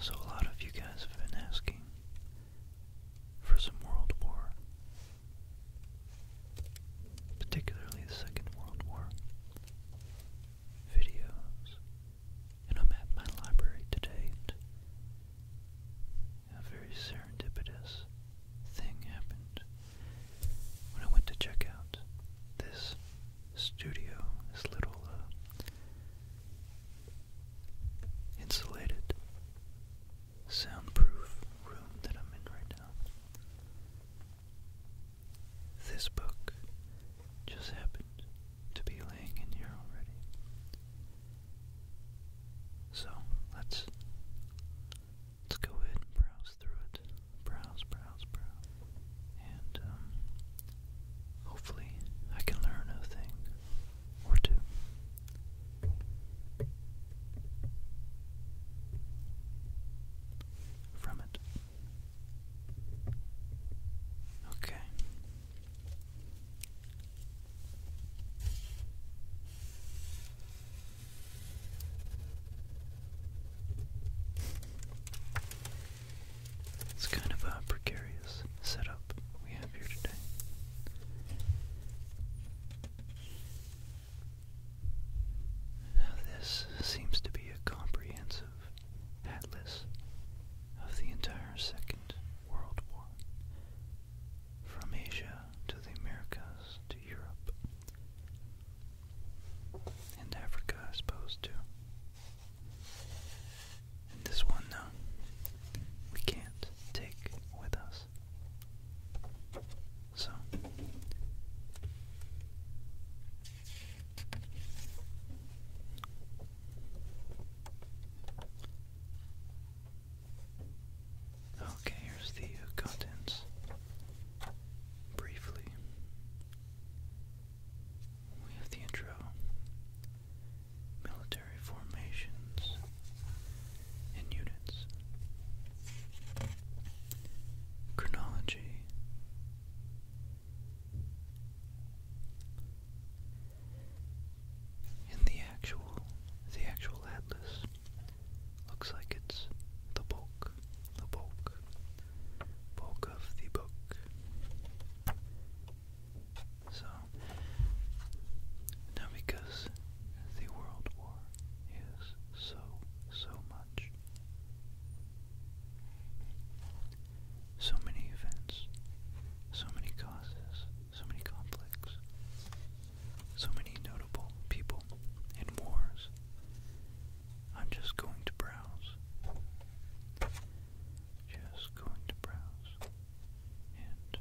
So, a lot of you guys have been asking for some World War, particularly the Second World War videos, and I'm at my library today. And a very serendipitous thing happened when I went to check out this studio, this little uh, insulated, soundproof room that I'm in right now. This book just happened to be laying in here already. So let's let's go ahead and browse browse through it. Browse, browse, browse. And um, hopefully I can learn a thing or two. From it. Okay. It's kind of a precarious setup we have here today. Now this seems to be a comprehensive atlas of the entire Second World War, from Asia to the Americas to Europe and Africa, I suppose, too this one, no, we can't take with us. So, okay, here's the contents briefly we have the intro. Military formations and units. Chronology. And the actual the actual atlas looks like it's the bulk, the bulk, bulk of the book. So, now because the World War is so, so much, so many events, so many causes, so many conflicts, so many notable people in wars, I'm just going to browse. Just going to browse and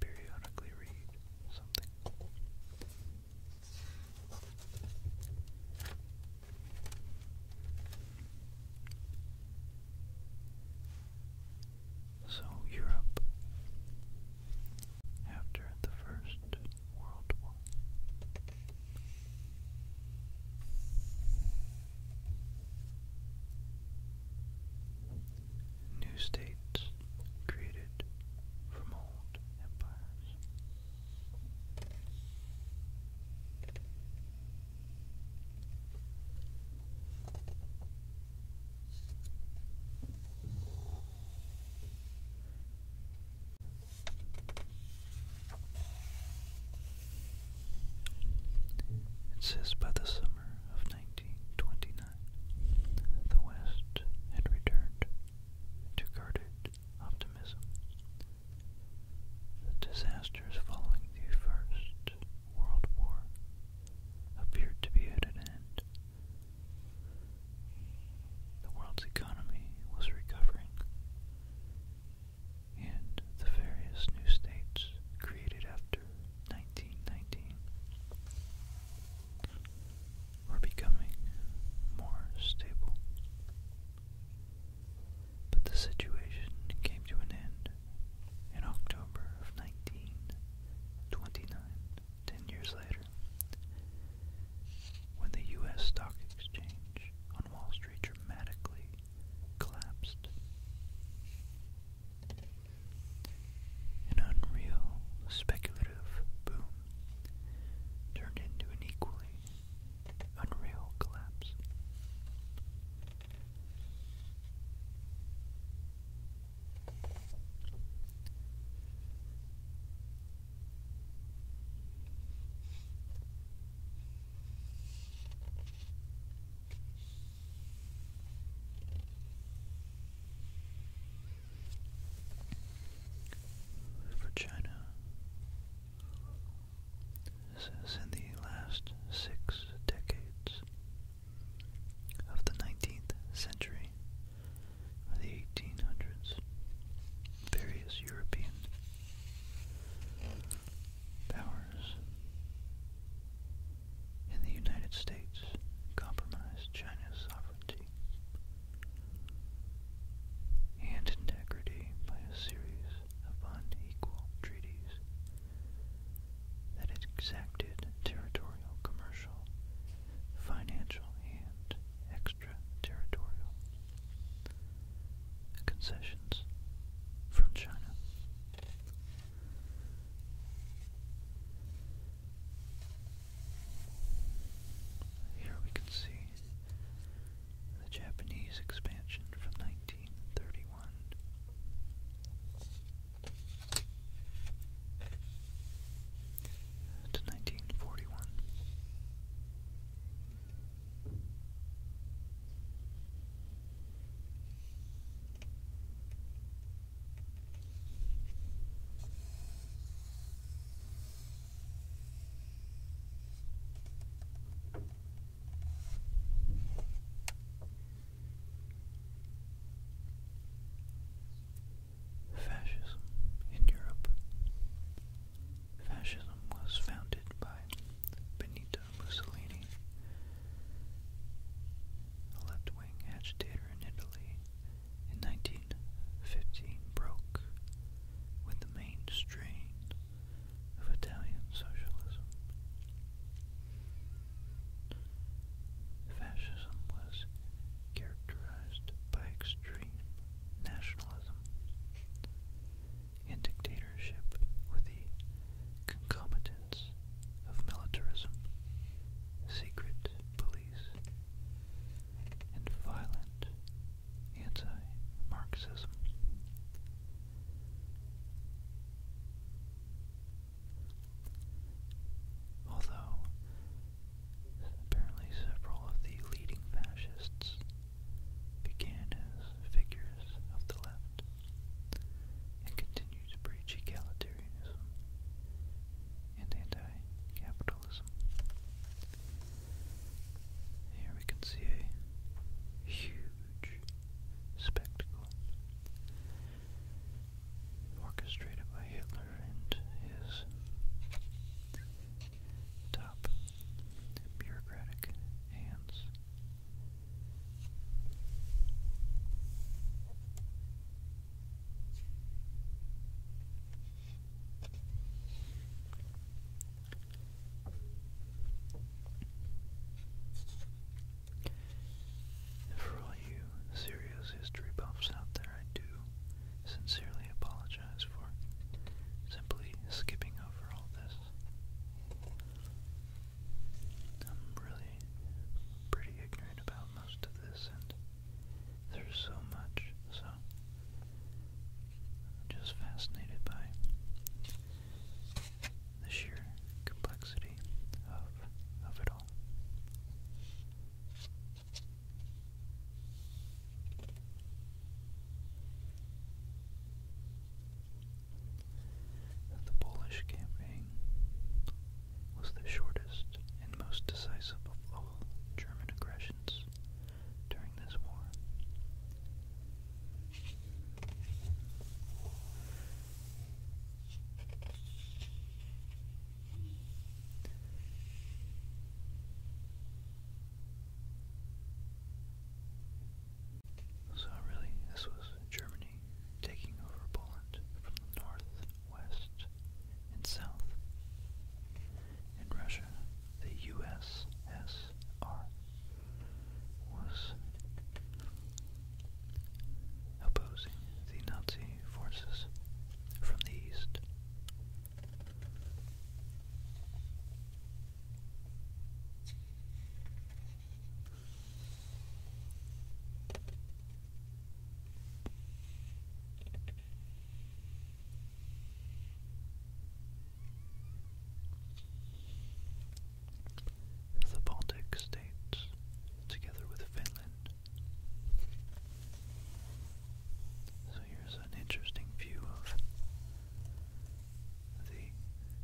periodically read something. So, Europe, after the First New states created from old empires. It says by the summer of 1929, the West had returned to guarded optimism. The disasters following the First World War appeared to be at an end. The world's economy was recovering, and the various new states created after 1919 were becoming more stable. But the situation came to an end in October of 1929, ten years later, when the U.S. Stock Exchange on Wall Street dramatically collapsed. An unreal speculative boom turned into an equally unreal collapse. For China, since in the last six decades of the 19th century, or the 1800s, various European powers in the United States compromised China's sovereignty and integrity by a series of unequal treaties that exacted territorial, commercial, financial, and extraterritorial concessions from China. Here we can see the Japanese expansion from 1931. To 1941. Fascism in Europe Fascism was founded by Benito Mussolini, a left-wing agitator in Italy. In 1915 broke with the main strain of Italian socialism. Fascism was characterized by extreme nationalism, and dictatorship with the concomitants of militarism, secret police, and violent anti-Marxism. Although apparently several of the leading fascists began as figures of the left and continue to preach egalitarianism and anti-capitalism. Here we can see a huge spectacle orchestrated by Hitler and his top bureaucratic hands. for all you serious history buffs out there, I do sincerely apologize apologize for simply skipping over all this. I'm really pretty ignorant about most of this, and there's so much, so I'm just fascinated by the sheer complexity of of it all. The Polish campaign was the shortest and most decisive of all German aggressions during this war. So really, this was Germany taking over Poland from the north, west, and south. In Russia, the USSR was opposing the Nazi forces from the east. The Baltic states, together with Finland. So here's an interesting view of the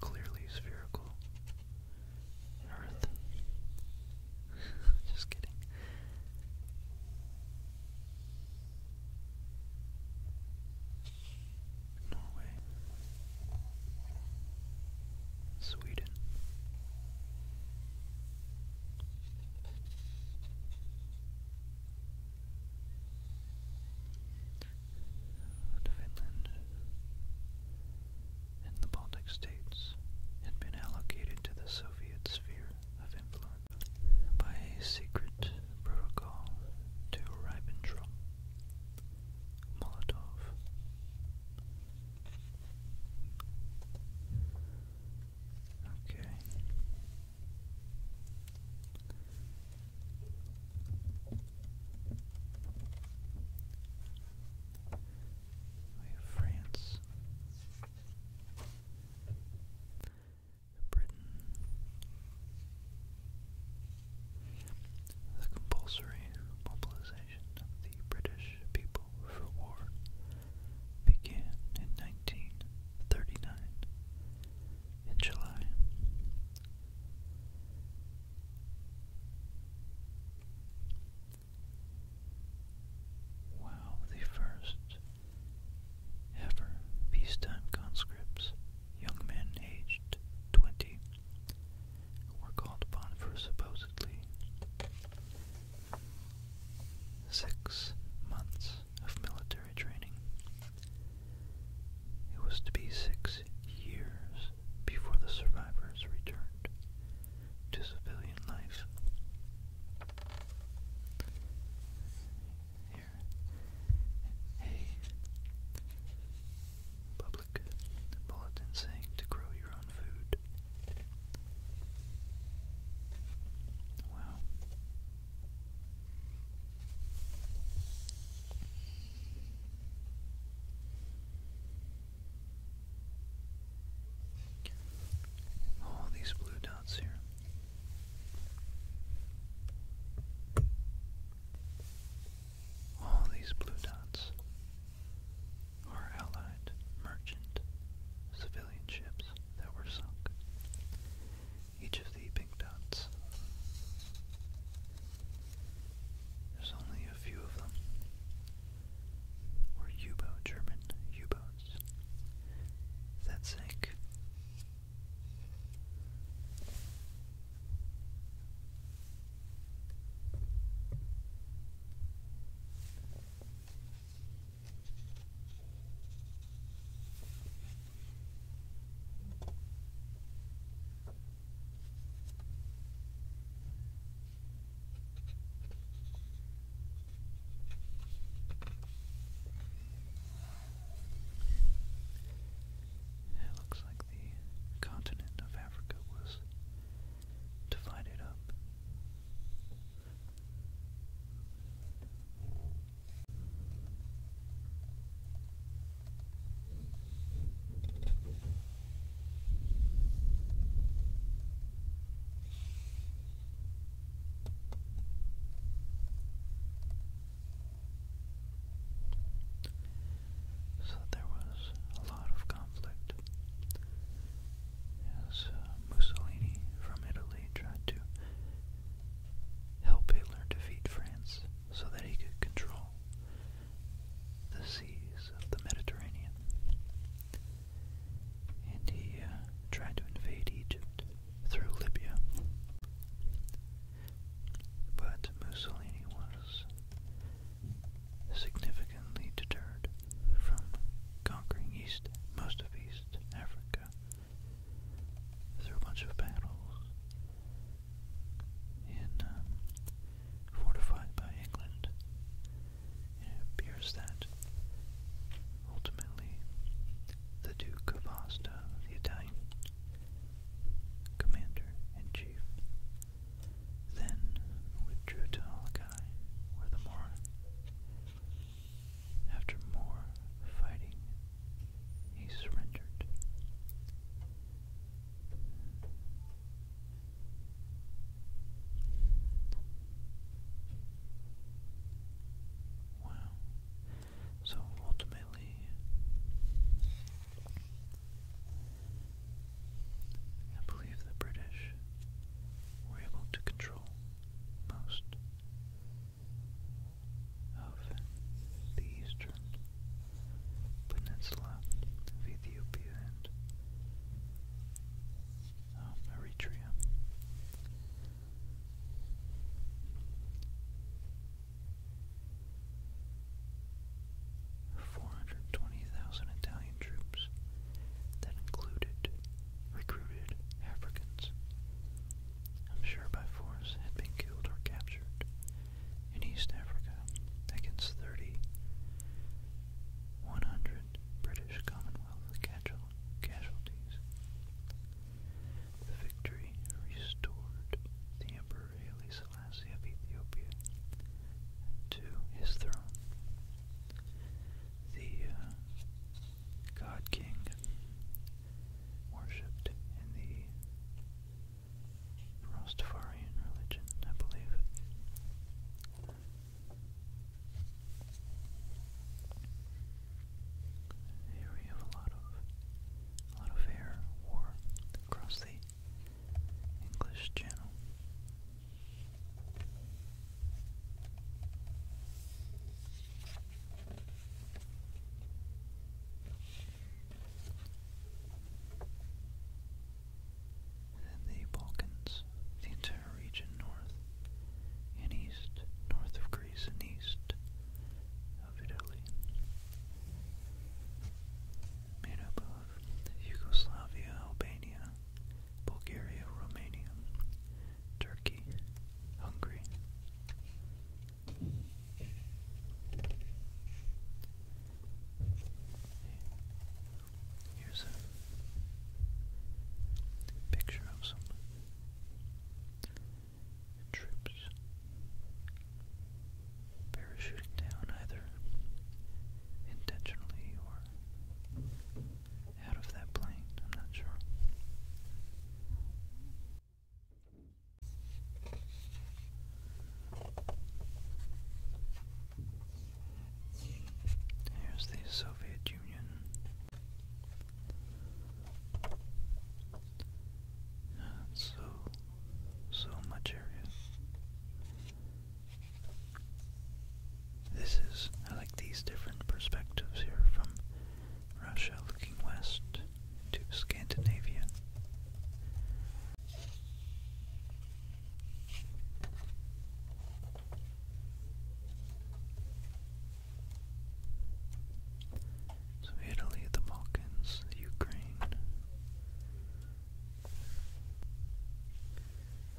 clearly spherical Earth. Just kidding. Norway, Sweden. Finland and the Baltic states had been allocated to the Soviet sphere of influence by a secret protocol to Ribbentrop Molotov. Okay. We have France, Britain, the compulsory mobilization of the British people for war began in 1939 in July. While the first ever peacetime conscripts, young men aged 20, were called upon for supposedly six months of military training. It was to be six years before the survivors returned to civilian life. Here, public bulletin saying to grow your own food. Wow. All these blue dots here. All these blue dots are Allied merchant civilian ships that were sunk each of the pink dots. There's only a few of them. Were u German U-boats that it looks like the continent of Africa was divided up. So there was a lot of conflict as uh, Mussolini from Italy tried to help Hitler defeat France so that he could control the seas of the Mediterranean. And he uh, tried to invade Egypt through Libya. But Mussolini was significantly deterred from conquering East, most of East Africa through a bunch of battles in um, fortified by England. It appears that ultimately the Duke of Asta, the Italian commander in chief, then withdrew to Alakai, where the more after more fighting he surrendered. Wow. So ultimately, I believe the British were able to control most of the eastern peninsula of Ethiopia and um, Eritrea. Four hundred twenty thousand Italian troops that included recruited Africans I'm sure by force, had been killed or captured in East Africa against 30, 100 British Commonwealth casualties. The victory restored the Emperor Haile Selassie of Ethiopia to his throne. The uh, God King worshipped in the Rastafarian religion, I believe. Here we have a lot of a lot of air war across the English Channel the Balkans, the entire region north and east, north of Greece and east of Italy, made up of Yugoslavia, Albania, Bulgaria, Romania, Turkey, Hungary, Here's a picture of some troops parachuting down either intentionally or out of that plane, I'm not sure. Here's the Soviet Union. so, so much area. This is, I like these different perspectives here from Russia looking west to Scandinavia. So Italy, the Balkans, the Ukraine,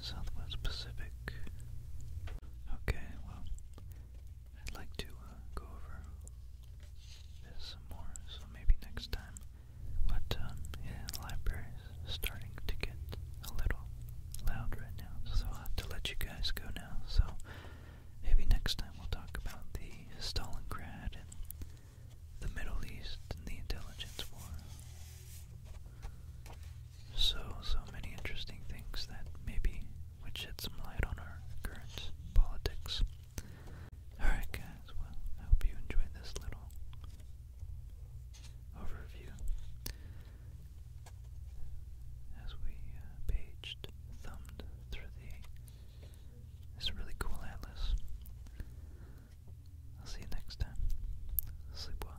Southwest Pacific. Okay, well, I'd like to uh, go over some more, so maybe next time. But um, yeah, library's starting to get a little loud right now, so i have to let you guys go now. So maybe next time we'll talk about the Stalingrad and the Middle East and the intelligence war. So, so many interesting things that maybe would shed some light on our current politics. Alright, guys, well, I hope you enjoyed this little overview as we uh, paged, thumbed through the this really cool atlas. I'll see you next time. Sleep well.